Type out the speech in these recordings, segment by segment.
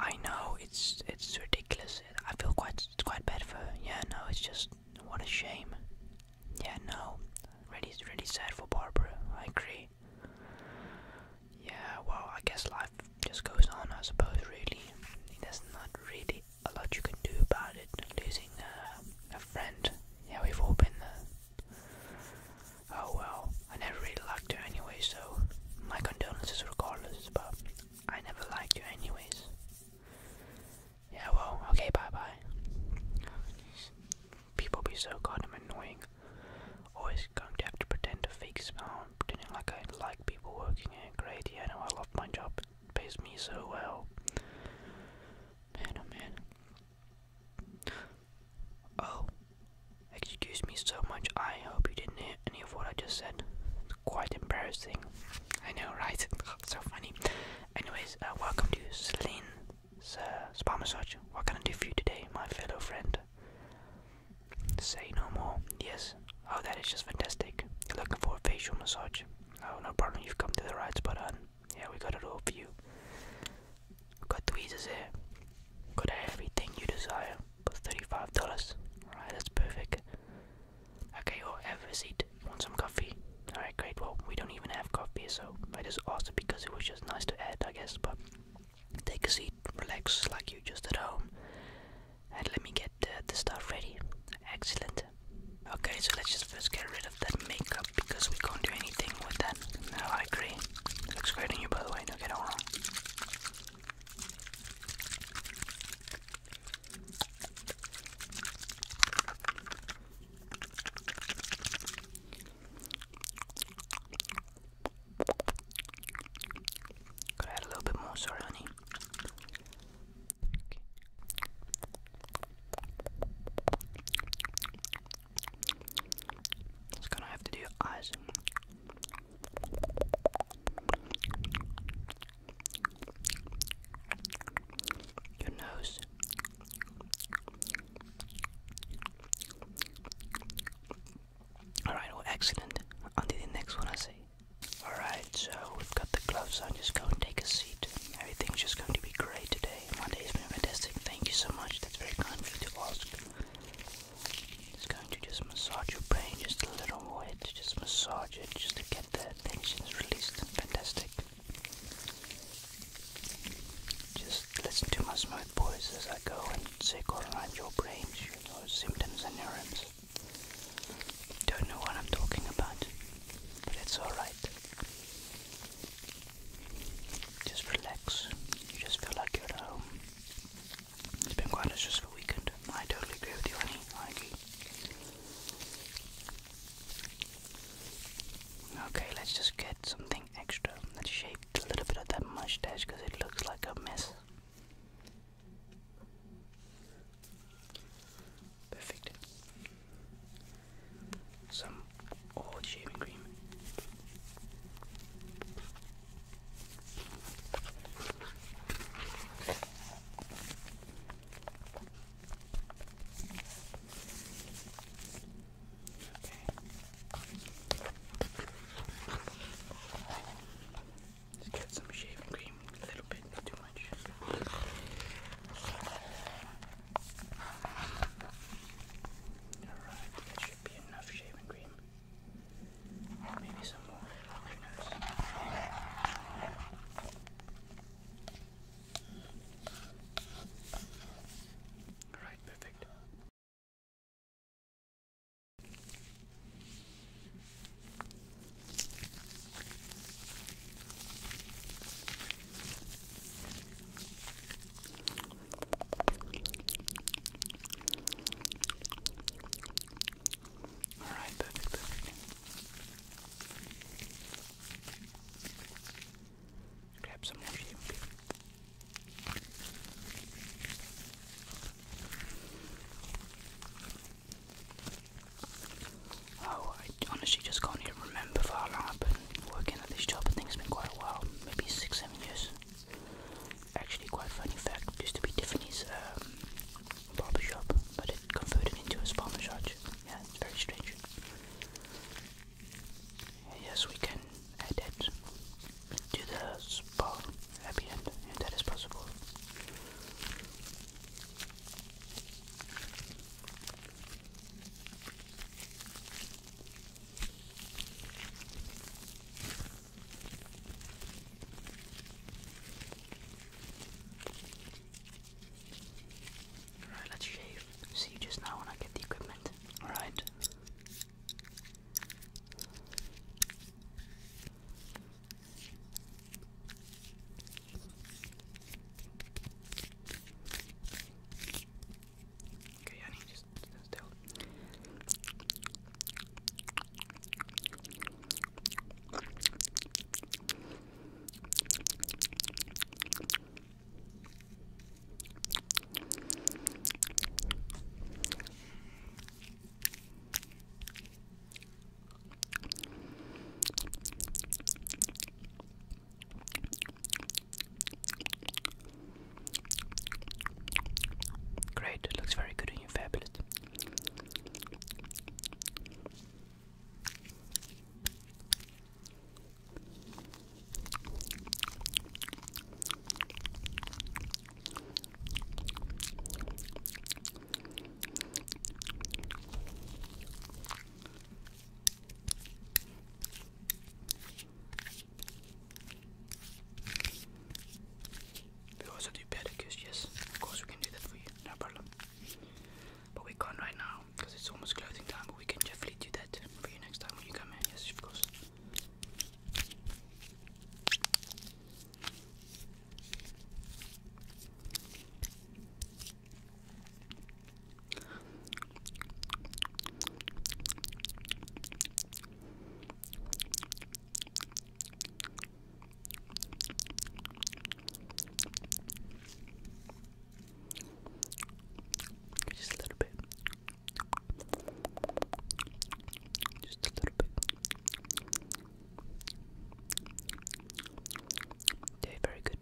I know it's it's ridiculous. I feel quite quite bad for Yeah, no, it's just what a shame. Yeah, no, really really sad for Barbara. I agree. Yeah, well, I guess life just goes on. I suppose really, there's not really a lot you can do about it. Losing uh, a friend. Yeah, we've all been there. Oh well, I never really liked her anyway, so my condolences regardless but I never liked you anyways. Yeah, well, okay, bye-bye. People be so goddamn annoying. Always going to have to pretend to fake smile, pretending like I like people working here. Great, I know I love my job. pays me so well. Man, oh man. Oh, Excuse me so much, I hope you didn't hear any of what I just said. It's quite embarrassing. I know, right? so funny. Anyways, uh, welcome to Celine uh, Spa Massage. What can I do for you today, my fellow friend? Say no more. Yes. Oh, that is just fantastic. You're looking for a facial massage. Oh, no problem, you've come to the right spot on. Yeah, we got it all for you. We've got tweezers here. Got everything you desire. $35. Alright, that's perfect. Okay, or well, have a seat. Want some coffee? Alright, great. Well, we don't even have coffee, so I just asked it because it was just nice to add, I guess. But take a seat, relax like you just at home, and let me get the stuff ready. Excellent. Okay, so let's just first get rid of that makeup because we can't do anything with that. No, I agree. Looks great on you, by the way. No, get it wrong. Could add a little bit more, sorry, honey. gonna have to do eyes. And your nose. Alright, well, excellent. Until the next one, I see. Alright, so we've got the gloves on. Just go and take a seat. Everything's just going to be great today. My day's been fantastic. Thank you so much. That's very kind of you to ask. It's going to just massage your brain just a little more. Just massage it just to get the tensions released. Fantastic. Just listen to my smooth voice as I go and circle around your brain, you know, symptoms and neurons. Don't know what I'm talking about, but it's alright. Just relax. You just feel like you're at home. It's been quite a stressful weekend. I totally agree with you, Annie. I agree. Okay, let's just get something extra that shaped a little bit of that mustache because it looks like a mess. Perfect. Some old shaving cream. Just get some shaving cream, a little bit, not too much. Alright, that should be enough shaving cream. Maybe some more. Alright, perfect. Alright, perfect, perfect. Grab some more shape. Oh, I honestly just can't even remember for how long I've been working at this job. I think has been quite a while, maybe six, seven years actually quite funny fact, used to be Tiffany's um, barber shop, but it converted into a spa massage. Yeah, it's very strange. Yes, we can add that to the spa at the end, if that is possible. Alright, let's shave. See you just now when I get the equipment. Alright. Okay, honey, just stand still. Great, looks very good on you, fabulous. We also do pedicures, yes. Of course we can do that for you, no problem. But we can't right now, because it's almost closing time, but we can definitely do that for you next time when you come in, yes of course. Just a little bit. Just a little bit. very good.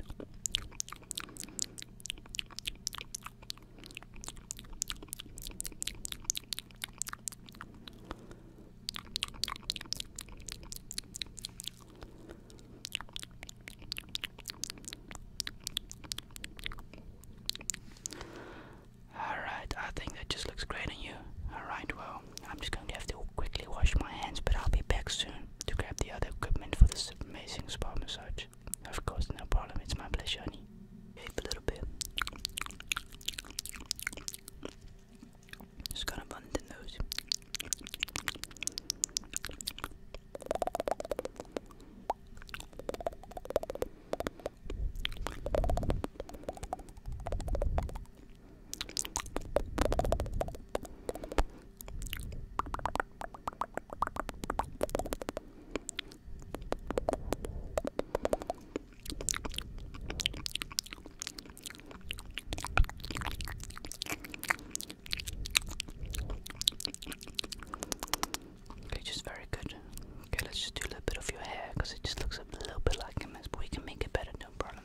Alright, I think that just looks great on you. Alright, well, I'm just going to have to quickly wash my hands, but I'll be back soon to grab the other equipment for this amazing spa massage. Of course, no problem. It's my pleasure, honey. a little bit. Just gonna run the nose. Okay, very good. Okay, let's just do a little bit of your hair because it just looks a little bit like a mess, but we can make it better, no problem.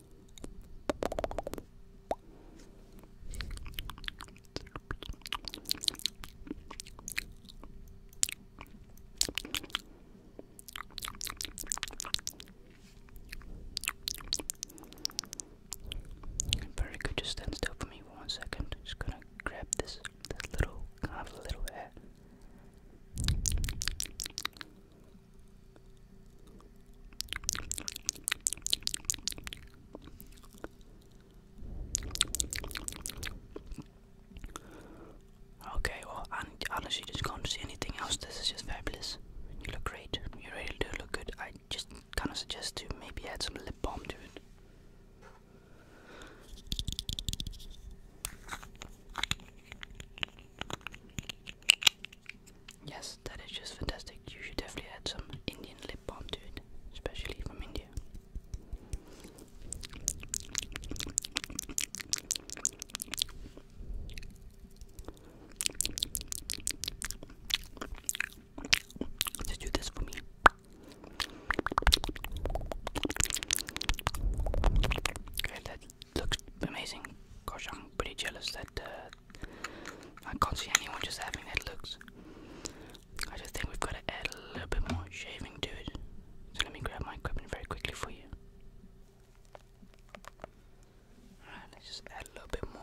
Very good, just stand still for me for one second. Just gonna grab this, little, kind of little hair. Okay, well, I honestly just can't see anything else. This is just fabulous. You look great. You really do look good. I just kind of suggest to maybe add some lip balm to it. Yes, that is just fantastic. You should definitely add some Indian lip balm to it, especially from India. Just do this for me. Okay, that looks amazing. Gosh, I'm pretty jealous that uh, I can't see anyone just having that looks. I just think we've got to add a little bit more shaving to it. So let me grab my equipment very quickly for you. Alright, let's just add a little bit more.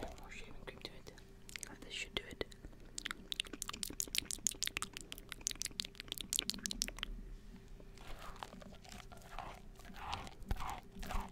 bit more shaving cream to it. Oh, this should do it.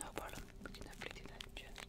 No problem, we can definitely do that just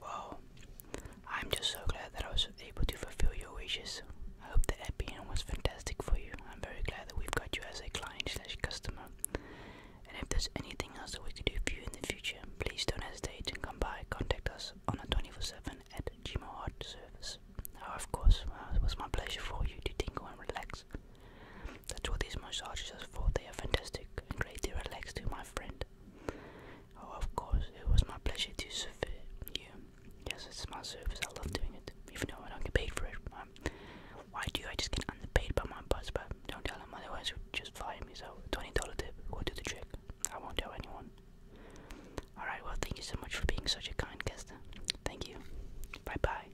Well, I'm just so glad that I was able to fulfill your wishes. I hope the Epian was fantastic for you. I'm very glad that we've got you as a client slash customer. And if there's anything else that we can do for you in the future, please don't hesitate to come by. Contact us on a 24-7 at Gmail Art Service. Oh, of course, uh, it was my pleasure for you to tingle and relax. That's what these massages are for. They are fantastic and greatly relax to my friend. Oh, of course, it was my pleasure to serve you. Yes, it's my service. I love doing it, even though I don't get paid for it. Um, why do I just get underpaid by my boss? But don't tell him, otherwise he'll just fire me. So twenty dollar tip will do the trick. I won't tell anyone. All right. Well, thank you so much for being such a kind guest. Thank you. Bye bye.